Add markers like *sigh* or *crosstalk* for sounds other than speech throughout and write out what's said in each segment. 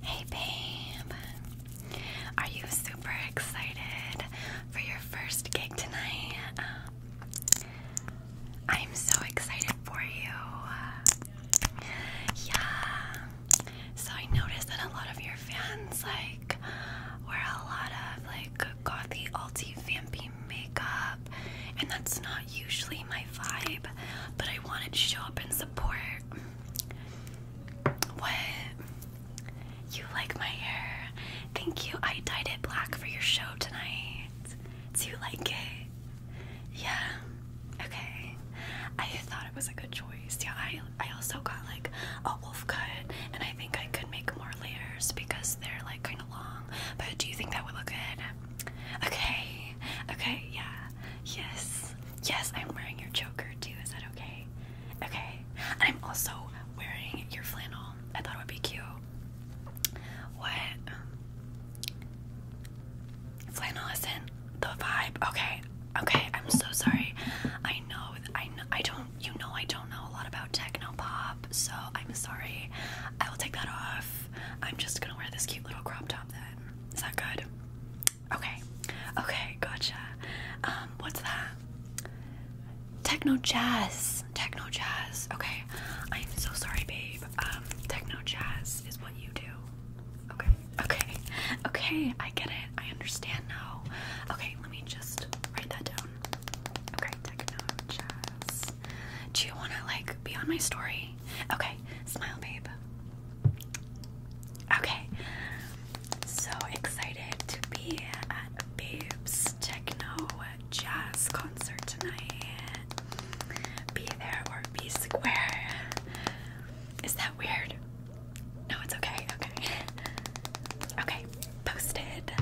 Hey babe, are you super excited for your first gig tonight? Uh, I'm so excited for you. Yeah. So I noticed that a lot of your fans like wear a lot of like gothy, alti, vampy makeup, and that's not usually my vibe. But I wanted to show up and support. What? You like my hair? Thank you. I dyed it black for your show tonight. Do you like it? Yeah. Okay. I thought it was a good choice. Yeah, I I also got like a wolf cut and I think I could make more layers because they're like kind of long. But do you think that would look good? Okay. Okay, yeah. Yes. Yes, I'm wearing your choker too. Is that okay? Okay. I'm also wearing your flannel. I thought it would be cute. What? Um, flannel isn't the vibe. Okay. Okay. I'm so sorry. I know. I I don't. You know. I don't know a lot about techno pop. So I'm sorry. I will take that off. I'm just gonna wear this cute little crop top then. Is that good? Okay, okay, gotcha. Um, what's that? Techno jazz, techno jazz. Okay, I'm so sorry, babe. Um, techno jazz is what you do. Okay, okay, okay. I get it. I understand now. Okay, let me just write that down. Okay, techno jazz. Do you wanna like be on my story? Okay, smile, babe. Okay, so excited to be at Babes Techno Jazz Concert tonight. Be there or be square. Is that weird? No, it's okay. Okay. Okay, posted.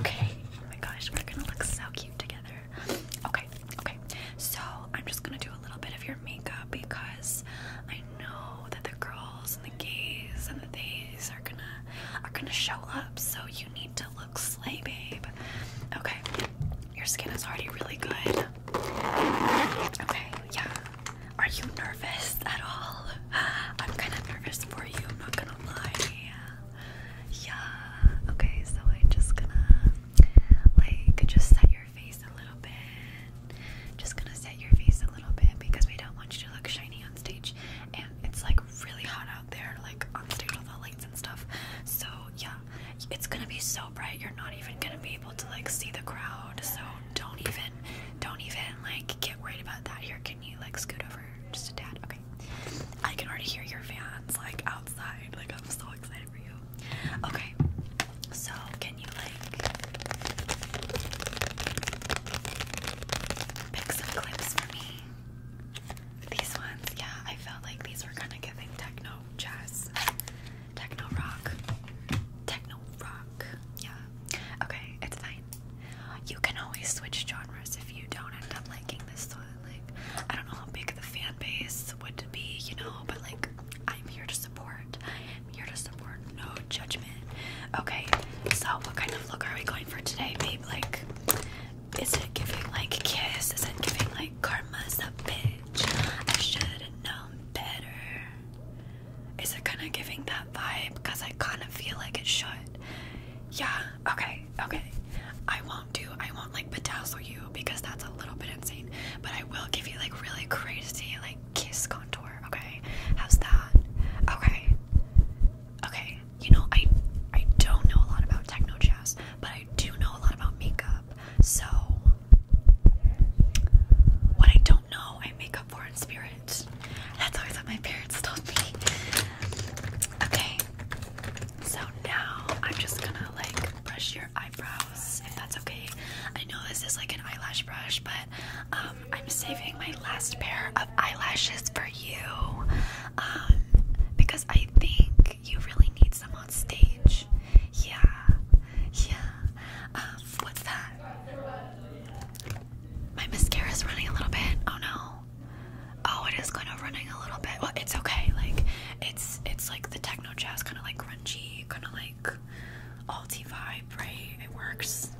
Okay. Oh my gosh, we're gonna look so cute together. Okay, okay. So I'm just gonna do a little bit of your makeup because I know that the girls and the gays and the gays are gonna are gonna show up. So you need to look slay, babe. Okay, your skin is already really good. Okay, yeah. Are you nervous at all? I'm kind of nervous for you. I'm not gonna lie. Yeah. Okay, so I'm just gonna like just set face a little bit. Just gonna set your face a little bit because we don't want you to look shiny on stage. And it's like really hot out there, like on stage with all the lights and stuff. So yeah, it's gonna be so bright you're not even gonna be able to like see the crowd. So don't even, don't even like get worried about that. Here, can you like scoot over just a tad? Okay. I can already hear your fans like outside. Like I'm so excited you. Okay, so can you like pick some clips for me? These ones, yeah, I felt like these were kind of giving techno jazz, techno rock, techno rock. Yeah, okay, it's fine. You can always switch genres if you don't end up liking this one. Like, I don't know how big the fan base would be, you know, but like, I'm here to support I'm here to support, no judgment. Okay, so what kind of look are we going for today, babe? Like, is it giving like kiss? Is it giving like karma's a bitch? I should have known better. Is it kind of giving that vibe? Because I kind of feel like it should. Yeah, okay, okay. I won't do, I won't like bedazzle you because that's a little bit insane, but I will give you like really crazy, like kiss contour. Okay, how's that? Okay, okay. You know, I I don't know a lot about techno jazz, but I do know a lot about makeup. So what I don't know, I make up for in spirit. That's all I thought my parents told me. Okay, so now I'm just gonna like brush your eyes if that's okay. I know this is like an eyelash brush, but um, I'm saving my last pair of eyelashes for you um, because I think you really need some on stage. Yeah, yeah. Um, what's that? My mascara's running a little bit. Oh no. Oh, it is kind of running a little bit. Well, it's okay. Like, it's it's like the techno jazz, kind of like grungy, kind of like like vibe, right? It works.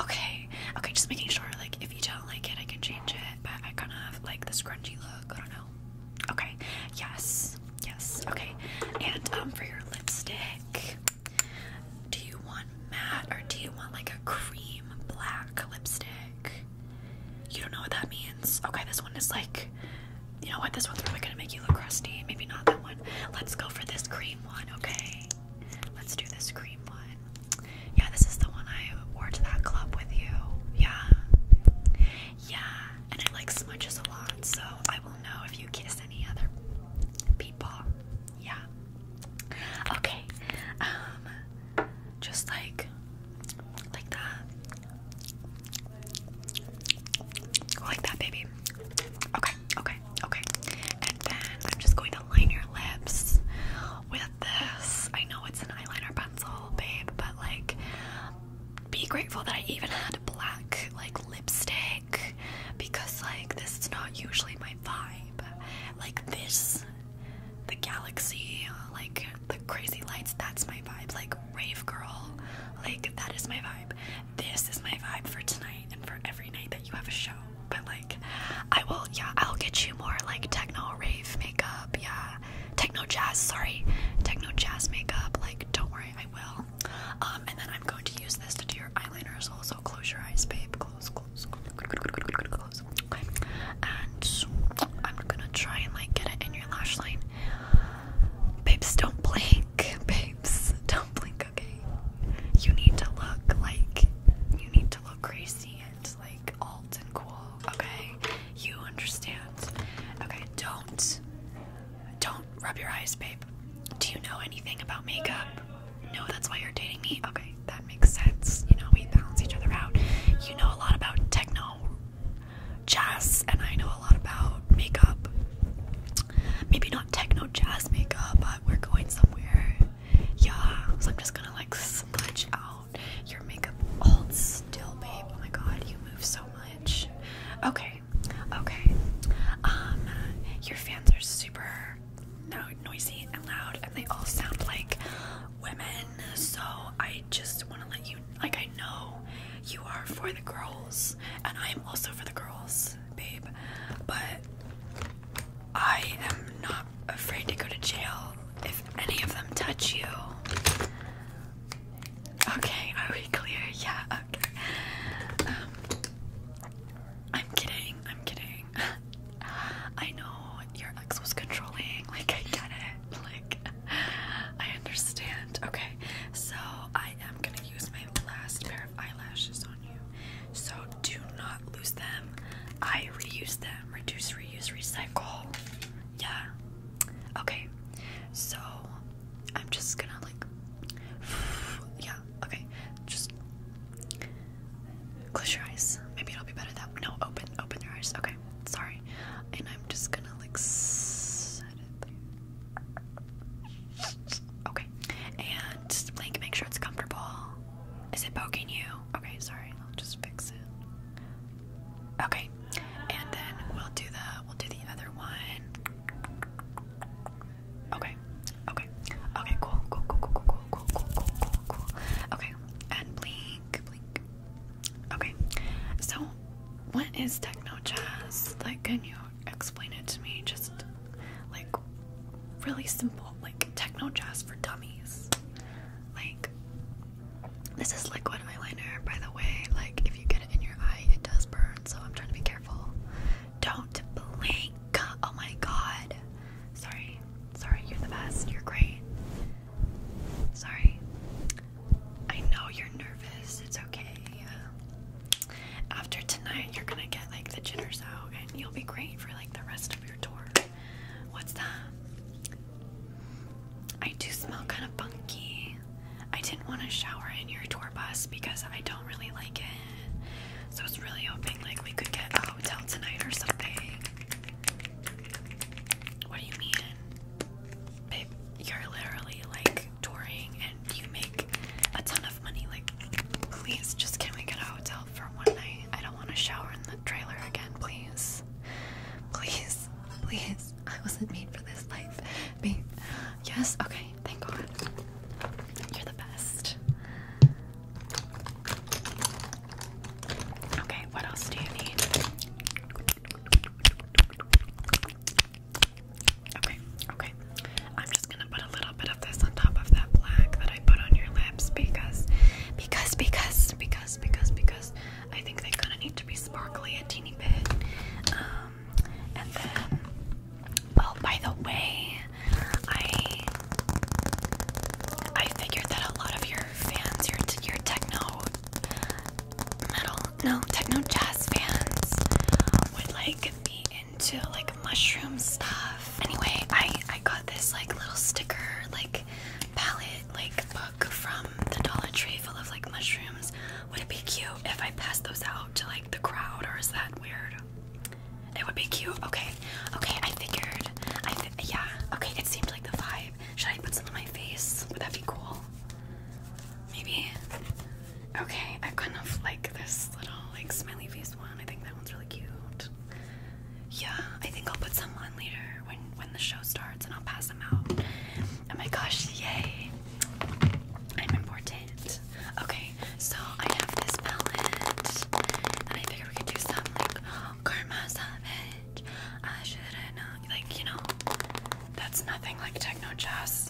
Okay, okay, just making sure like if you don't like it I can change it, but I kind of like this grungy look. I don't know. Okay, yes, yes, okay. And um for your lipstick, do you want matte or do you want like a cream black lipstick? You don't know what that means. Okay, this one is like you know what? This one's really gonna make you look crusty. Maybe not that one. Let's go for this cream one, okay? Let's do this cream one. Yeah, this is the one I wore to that club with you. Yeah. Yeah. And it like smudges a lot, so I will know if you kiss any other people. Yeah. Okay. Um just like like that. Like that, baby. Okay, okay, okay. And then I'm just going to line your lips with this. I know it's an eyeliner pencil, babe, but like, be grateful that I even had black like lipstick because like this is not usually my vibe. Like this, the galaxy, like the crazy lights. That's my vibe. Like rave girl, like that is my vibe vibe. This is my vibe for tonight and for every night that you have a show. But like, I will, yeah, I'll get you more like techno rave makeup, yeah, techno jazz, sorry, techno jazz makeup. Like, don't worry, I will. Um, and then I'm going to use this to do your eyeliner as well. So close your eyes, babe. Close, close, close, close. Okay. And I'm gonna try and like get it in your lash line. Babes, don't blink. Babes. *laughs* Don't blink, okay? You need to look like you need to look crazy and like alt and cool, okay? You understand. Okay, don't don't rub your eyes, babe. Do you know anything about makeup? No, that's why you're dating me. Okay, that makes sense. You know, we balance each other out. You know a lot about techno jazz and I know a lot about makeup maybe not techno jazz makeup, but we're going somewhere. Yeah, so I'm just gonna like smudge out your makeup. Hold still, babe. Oh my god, you move so much. Okay, okay. Um, your fans are super noisy and loud, and they all sound like women. So I just want to let you like I know you are for the girls, and I am also for the girls babe, but I am not afraid to go to jail if any of them touch you. Okay, are we clear? Yeah, Um, I'm kidding, I'm kidding. *laughs* I know your ex was controlling, like, I get it. Like, I understand. Okay, so I am gonna use my last pair eyelashes on you. So do not lose them. I reuse them. Reduce, reuse, recycle. Yeah. Okay. So I'm just gonna like. *sighs* Yeah. Okay. Just close your eyes. Maybe it'll be better that No, open, open your eyes. Okay. Sorry. And I'm just gonna like Okay, and like make sure it's comfortable. Is it poking you? Okay, sorry, I'll just fix it. Okay, and then we'll do the we'll do the other one. Okay, okay, okay, cool, cool, cool, cool, cool, cool, cool, cool, cool, cool. Okay, and blink, blink. Okay, so what is techno jazz? Like, can you explain it to me just like really simple like techno jazz for dummies like this is liquid eyeliner by the way like if you get it in your eye it does burn so i'm trying to be careful don't blink oh my god sorry sorry you're the best you're great sorry i know you're nervous it's okay after tonight, you're gonna get like the jitters out, and you'll be great for like the rest of your tour. What's that? I do smell kind of funky. I didn't want to shower in your tour bus because I don't really like it. So I was really hoping like we could get a hotel tonight or something. What do you mean? Babe, you're literally like touring and you make a ton of money. Like, please, just can we get a hotel for one night? I don't want to shower in the trailer again, please. Please, please. I wasn't made for this life. Babe. Yes? Okay, thank God. You're the best. Okay, what else do you need? Okay, okay. I'm just gonna put a little bit of this on top of that black that I put on your lips because, because, because, because, because, because I think they kind of need to be sparkly a teeny bit. Um, and then, oh, by the way, I I figured that a lot of your fans, your your techno metal, no techno jazz fans, would like the to like mushroom stuff. Anyway, I I got this like little sticker like palette like book from the Dollar Tree full of like mushrooms. Would it be cute if I passed those out to like the crowd, or is that weird? It would be cute. Okay, okay. I figured. I th yeah. Okay, it seemed like the vibe. Should I put some on my face? Would that be cool? Maybe. Okay, I kind of like this little like smiley face one. I think that one's really cute. Yeah, I think I'll put some on later when when the show starts, and I'll pass them out. Oh my gosh, yay! I'm important. Okay, so I have this palette, and I figure we could do some like karma savage. I should have known, like you know, that's nothing like techno jazz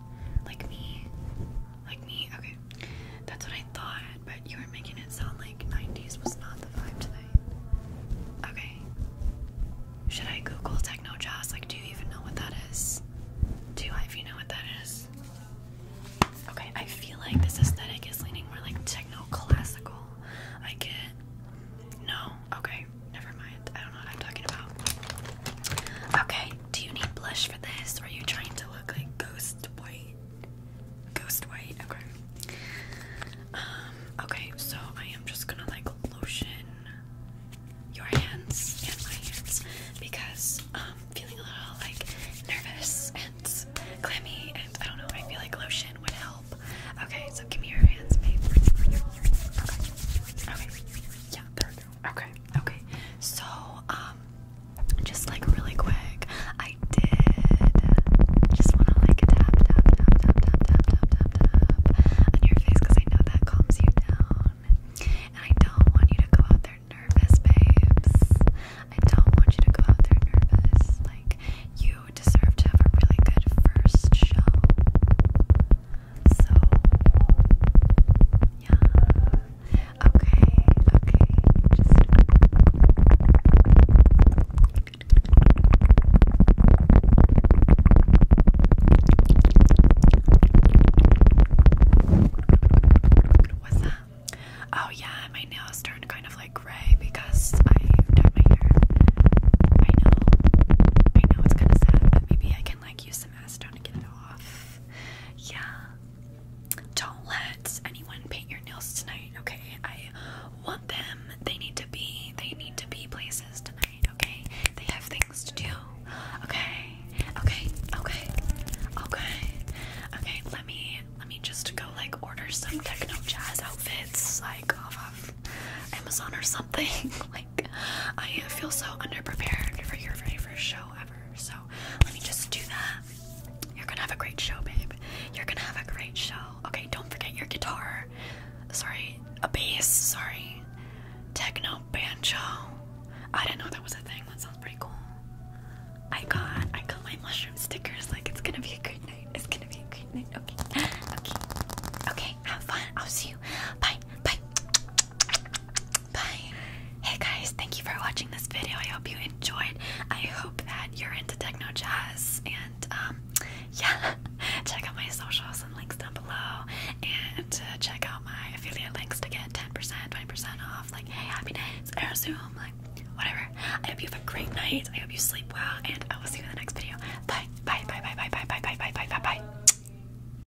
Like me? Like me? Okay. That's what I thought, but you were making it sound like 90s was not the vibe today. Okay. Should I Google techno jazz? Like, do you even know what that is? Do you even know what that is? Okay, I feel like this aesthetic is leaning more like techno classical. I get. No? Okay. Never mind. I don't know what I'm talking about. Okay, do you need blush for this? Or are you trying to look like ghost white? Ghost white, okay. Um, okay, so I am just gonna like lotion your hands and my hands because I'm um, feeling a little like nervous and clammy and I don't know, I feel like lotion would help. Okay, so give me your hands, babe. Okay. Okay. Yeah, Okay. Okay. So, um, just like really quick, I did just want to like tap, tap, tap, tap, tap, tap, tap, tap on your face because I know that calms you down. And I don't want you to go out there nervous, babes. I don't want you to go out there nervous. Like, you deserve to have a really good first show. So, yeah. Okay, okay. Just. What's that? Oh, yeah, my nails turned kind of like gray because I dyed my hair. I know, I know it's kind of sad, but maybe I can like use some acetone to get it off. Yeah. Don't let anyone paint your nails tonight, okay? I want them. They need to be they need to be places tonight, okay? They have things to do. Okay. Okay. Okay. Okay. Okay, let me let me just go like order some techno jazz outfits like off of Amazon or something. *laughs* like I feel so underprepared for your very first show ever. So let me just do that. You're gonna have a great show, babe. You're gonna have a great show. Okay, don't forget your guitar. Sorry, a bass. Sorry, techno banjo. I didn't know that was a thing. That sounds pretty cool. I got I got my mushroom stickers. Like it's gonna be a great night. It's gonna be a great night. Okay, okay, okay. Have fun. I'll see you. Bye, bye. Bye. Hey guys, thank you for watching this video. I hope you enjoyed. I hope that you're into techno jazz and um *laughs* yeah, check out my socials and links down below and uh, check out my affiliate links to get 10%, 20% off like hey, happy nights, airzoom, like whatever. I hope you have a great night. I hope you sleep well and I will see you in the next video. Bye. Bye. Bye. Bye. Bye. Bye. Bye. Bye. Bye. Bye. Bye. bye.